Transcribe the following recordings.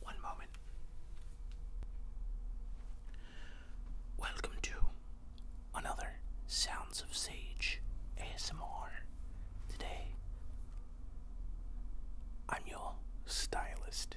One moment. Welcome to another Sounds of Sage ASMR. Today, I'm your stylist,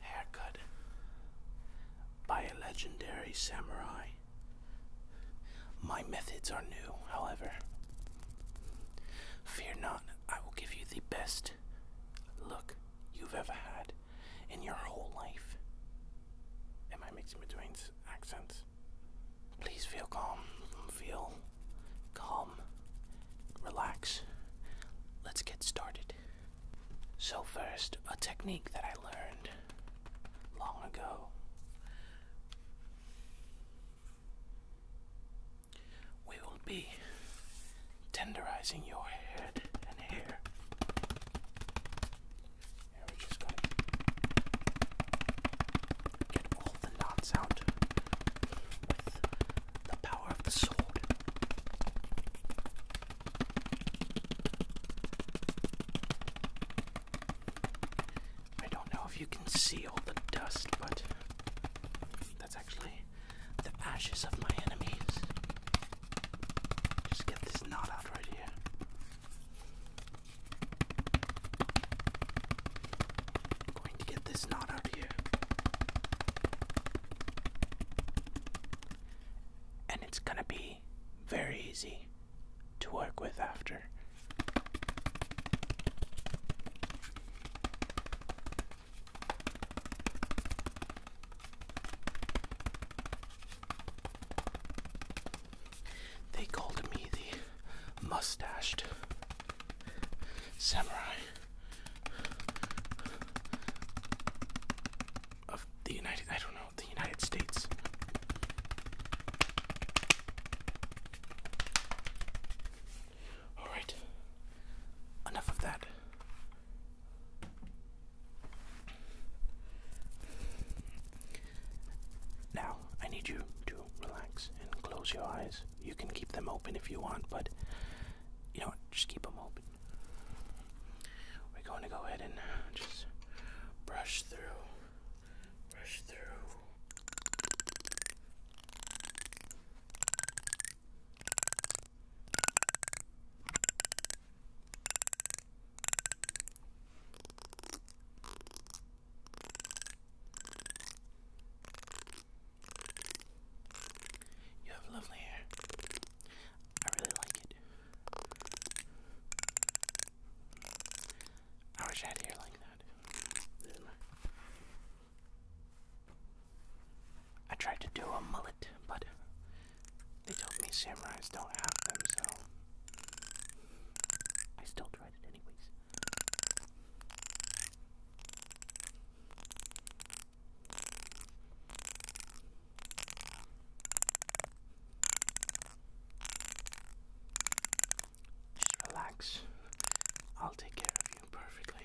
haircut by a legendary samurai. My methods are new, however. Fear not, I will give you the best look you've ever had in your whole life. Am I mixing between accents? Please feel calm. Feel calm. Relax. Let's get started. So, first, a technique that I learned long ago. We will be tenderizing your head and hair. And we just going to get all the knots out with the power of the sword. I don't know if you can see all the dust, but that's actually the ashes of my enemies. Just get this knot out right here. I'm going to get this knot out here and it's gonna be very easy to work with after. They called me the mustached samurai of the United I don't know, the United States. All right. Enough of that. Now, I need you to relax and close your eyes. You can keep them open if you want, but you know what, just keep them open. We're going to go ahead and just brush through, brush through. You have lovely hair. I really like it. I wish I had hair like that. I tried to do a mullet, but they told me samurais don't have them, so I still tried it anyways. Just relax. I'll take care of you perfectly.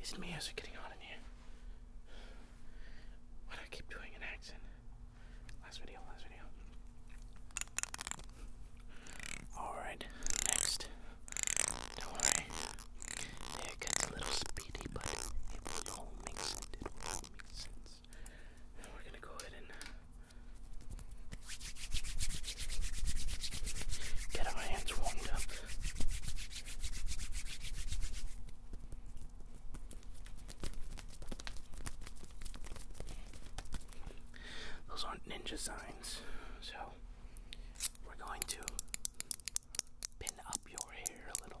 Is not me? Is it getting hot in here? Why do I keep doing an accent? Last video, last video. Alright, next. Don't worry. It gets a little speedy, but it all make sense. It all make sense we're gonna go ahead and get our hands warmed up. Those aren't ninja signs, so we're going to pin up your hair a little.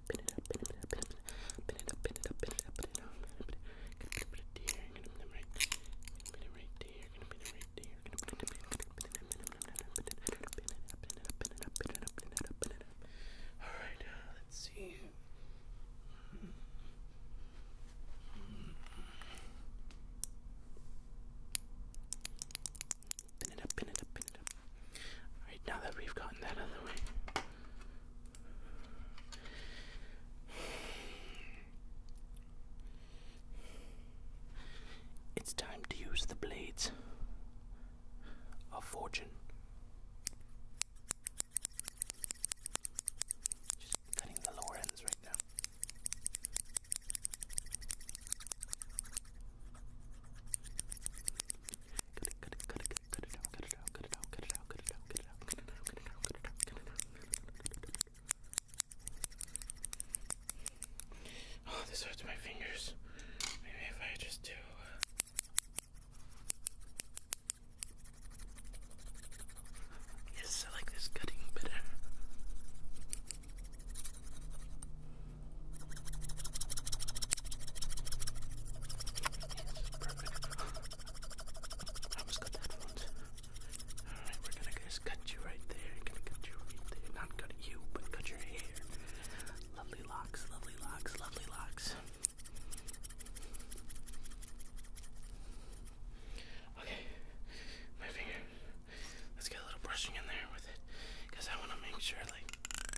pin it up, pin it up, pin it up, pin it up, pin it up, pin it up, pin it up, pin it here, gonna put it right pin it right there, gonna pin it right there, gonna put it pin it up, pin it up, pin it up, pin it up, pin it up, pin it up. Alright, uh, let's see. Pin it up, pin it up, pin it up, Alright, now that we've gotten that out of the way. It's time to use the blades of fortune. Just cutting the lower ends right now. Oh, this hurts my fingers. Maybe if I just do. Uh, yes, I like this cutting better. Alright, we're gonna just cut you right there. going cut you right there. Not cut you, but cut your hair. Lovely locks, lovely locks, lovely locks. Okay, my finger. Let's get a little brushing in there with it, I want to make sure, like,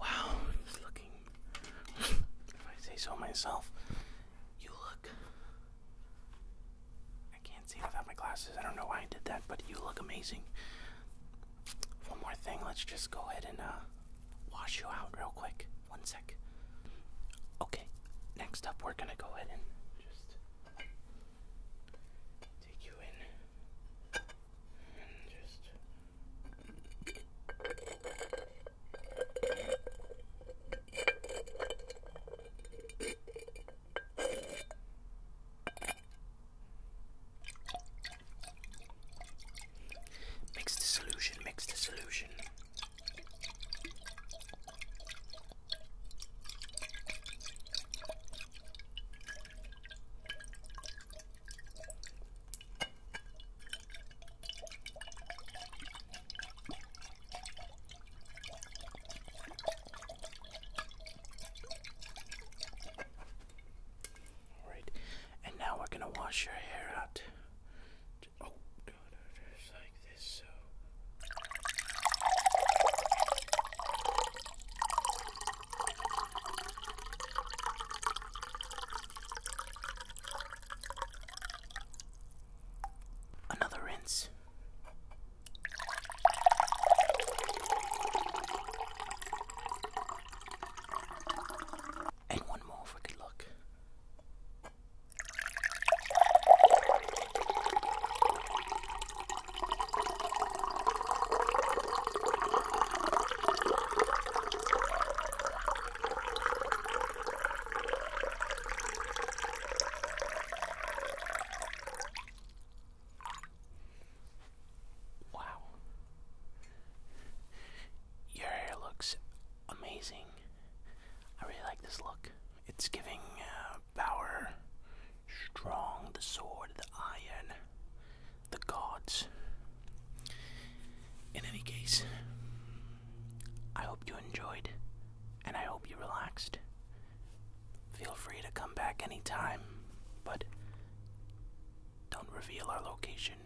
Wow, looking. if I say so myself, you look. I can't see without my glasses. I don't know why I did that, but you look amazing. One more thing, let's just go ahead and uh, wash you out real quick. One sec. Okay, next up, we're gonna go ahead and just Take you in just mix the solution, mix the solution. All right, and now we're gonna wash your hair out. Oh, Another rinse. And one more for good luck. Wow. Your hair looks amazing. I really like this look. It's giving uh, power, strong, the sword, the iron, the gods. In any case, I hope you enjoyed and I hope you relaxed. Feel free to come back anytime, but don't reveal our location.